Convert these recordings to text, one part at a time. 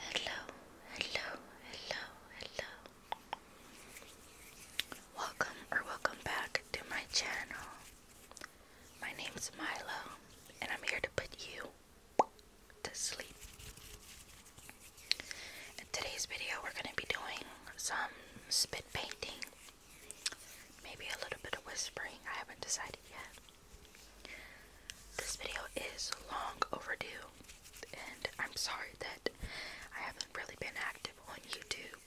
Hello, hello, hello, hello. Welcome or welcome back to my channel. My name's Milo, and I'm here to put you to sleep. In today's video, we're going to be doing some spit painting, maybe a little bit of whispering. I haven't decided yet. This video is long overdue, and I'm sorry that I haven't really been active on YouTube,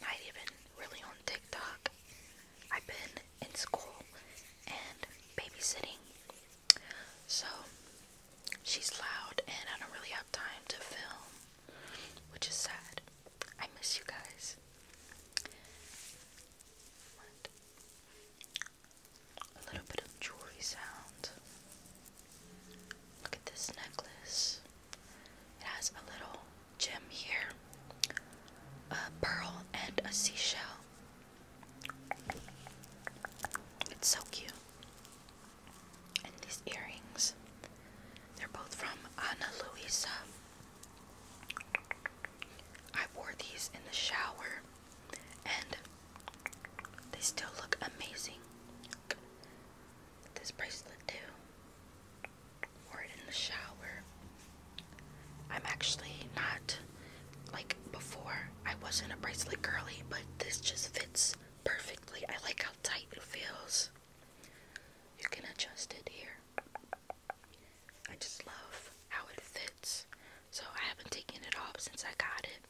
not even really on TikTok. I've been in school and babysitting, so she's loud, and I don't really have time to film, which is sad. I miss you guys. A little bit of jewelry sound. Look at this necklace. It has a little gem here, a pearl, and a seashell. It's so cute. And these earrings, they're both from Ana Luisa I wore these in the shower and they still look amazing. This bracelet too. Wore it in the shower. I'm actually not like before. I wasn't a bracelet girly, but this just fits perfectly. I like how tight it feels. You can adjust it here. I just love how it fits. So I haven't taken it off since I got it.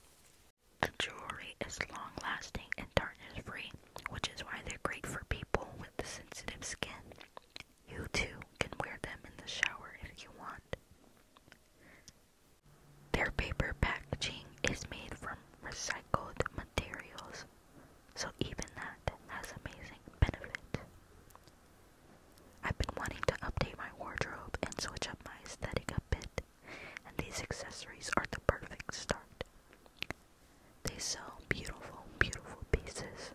The jewelry is long lasting and darkness free, which is why they're great for people with the sensitive skin. You too can wear them in the shower if you want. Their paper packaging is made from recycled materials. So even that has amazing benefit. I've been wanting to update my wardrobe and switch up my aesthetic a bit, and these accessories are the perfect start. They sell beautiful, beautiful pieces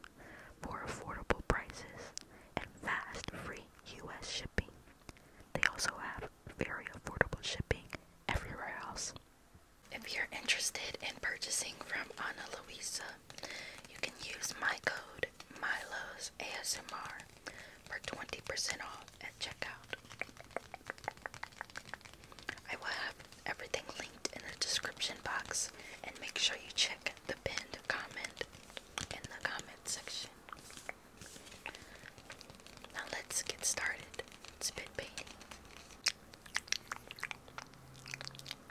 for affordable prices and fast free US shipping. They also have very affordable shipping everywhere else. If you're interested in purchasing from Ana Luisa, you can use my code Milo's ASMR for 20% off at checkout. I will have everything linked in the description box and make sure you check the pinned comment in the comment section. Now let's get started. Spit painting.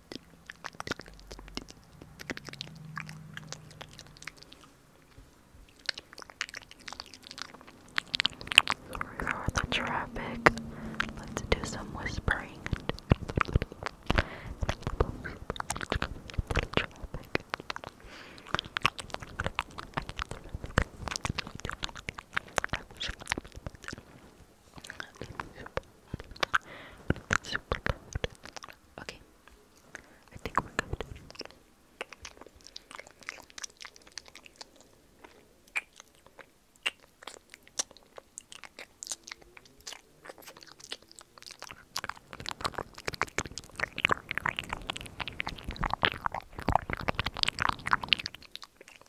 Sorry for the traffic. Let's do some whispering. Traffic. Okay, I think we're good.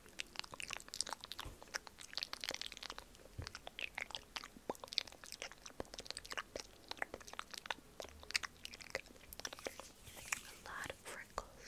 A lot of wrinkles.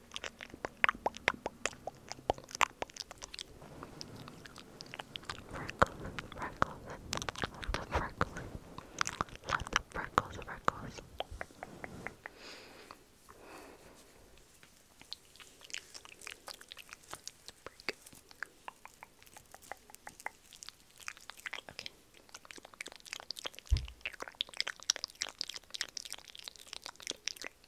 Freckles, freckles, love the freckles, love the freckles, freckles. Okay.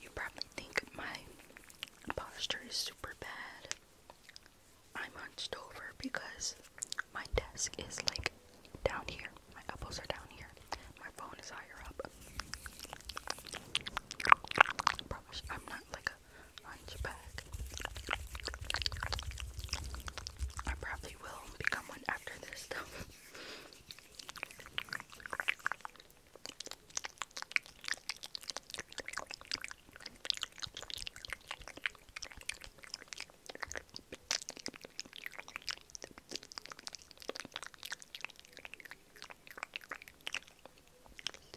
you probably think my posture is super bad. I'm hunched over because my desk is like down here. My elbows are down here. My phone is higher up. promise I'm not like hunchback. I probably will become one after this, though.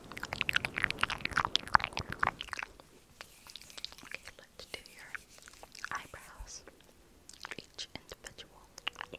Okay, let's do your eyebrows. Each individual. Okay.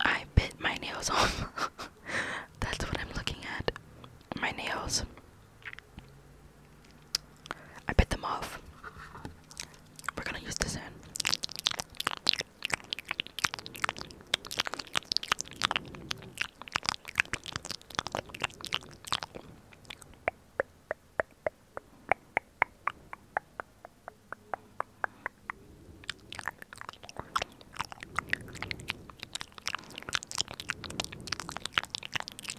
I bit my nails off. That's what I'm looking at. My nails. I bit them off. We're gonna use this in.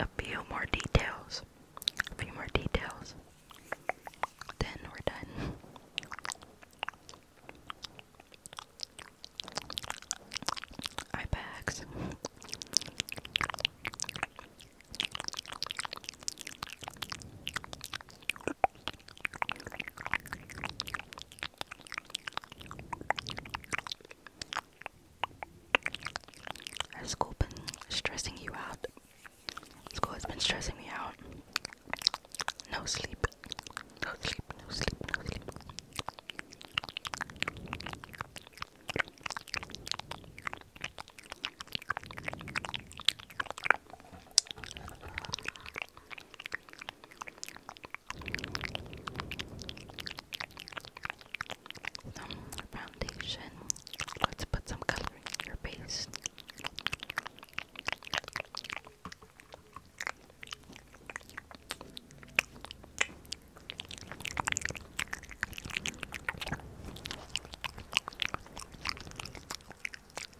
A few more details. A few more details. Then we're done. Eye bags. Has school been stressing you out? School has been stressing me out. No sleep. No sleep. No sleep. No sleep. Some foundation. Let's put some color in your face.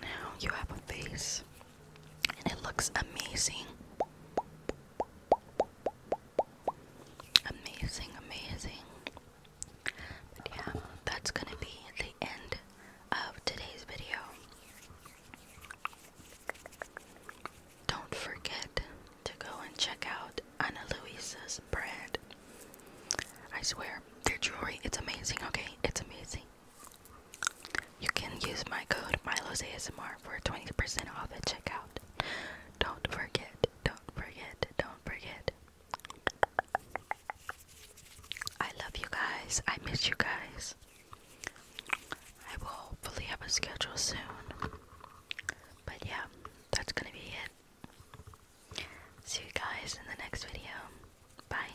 Now you have a face, and it looks amazing. Amazing, amazing. But yeah, that's gonna be the end of today's video. Don't forget to go and check out Ana Luisa's brand. I swear, their jewelry, it's amazing, okay? It's amazing. You can use my code Milo's ASMR for 20% off at checkout. Don't forget, don't forget, don't forget. I love you guys. I miss you guys. I will hopefully have a schedule soon. But yeah, that's gonna be it. See you guys in the next video. Bye.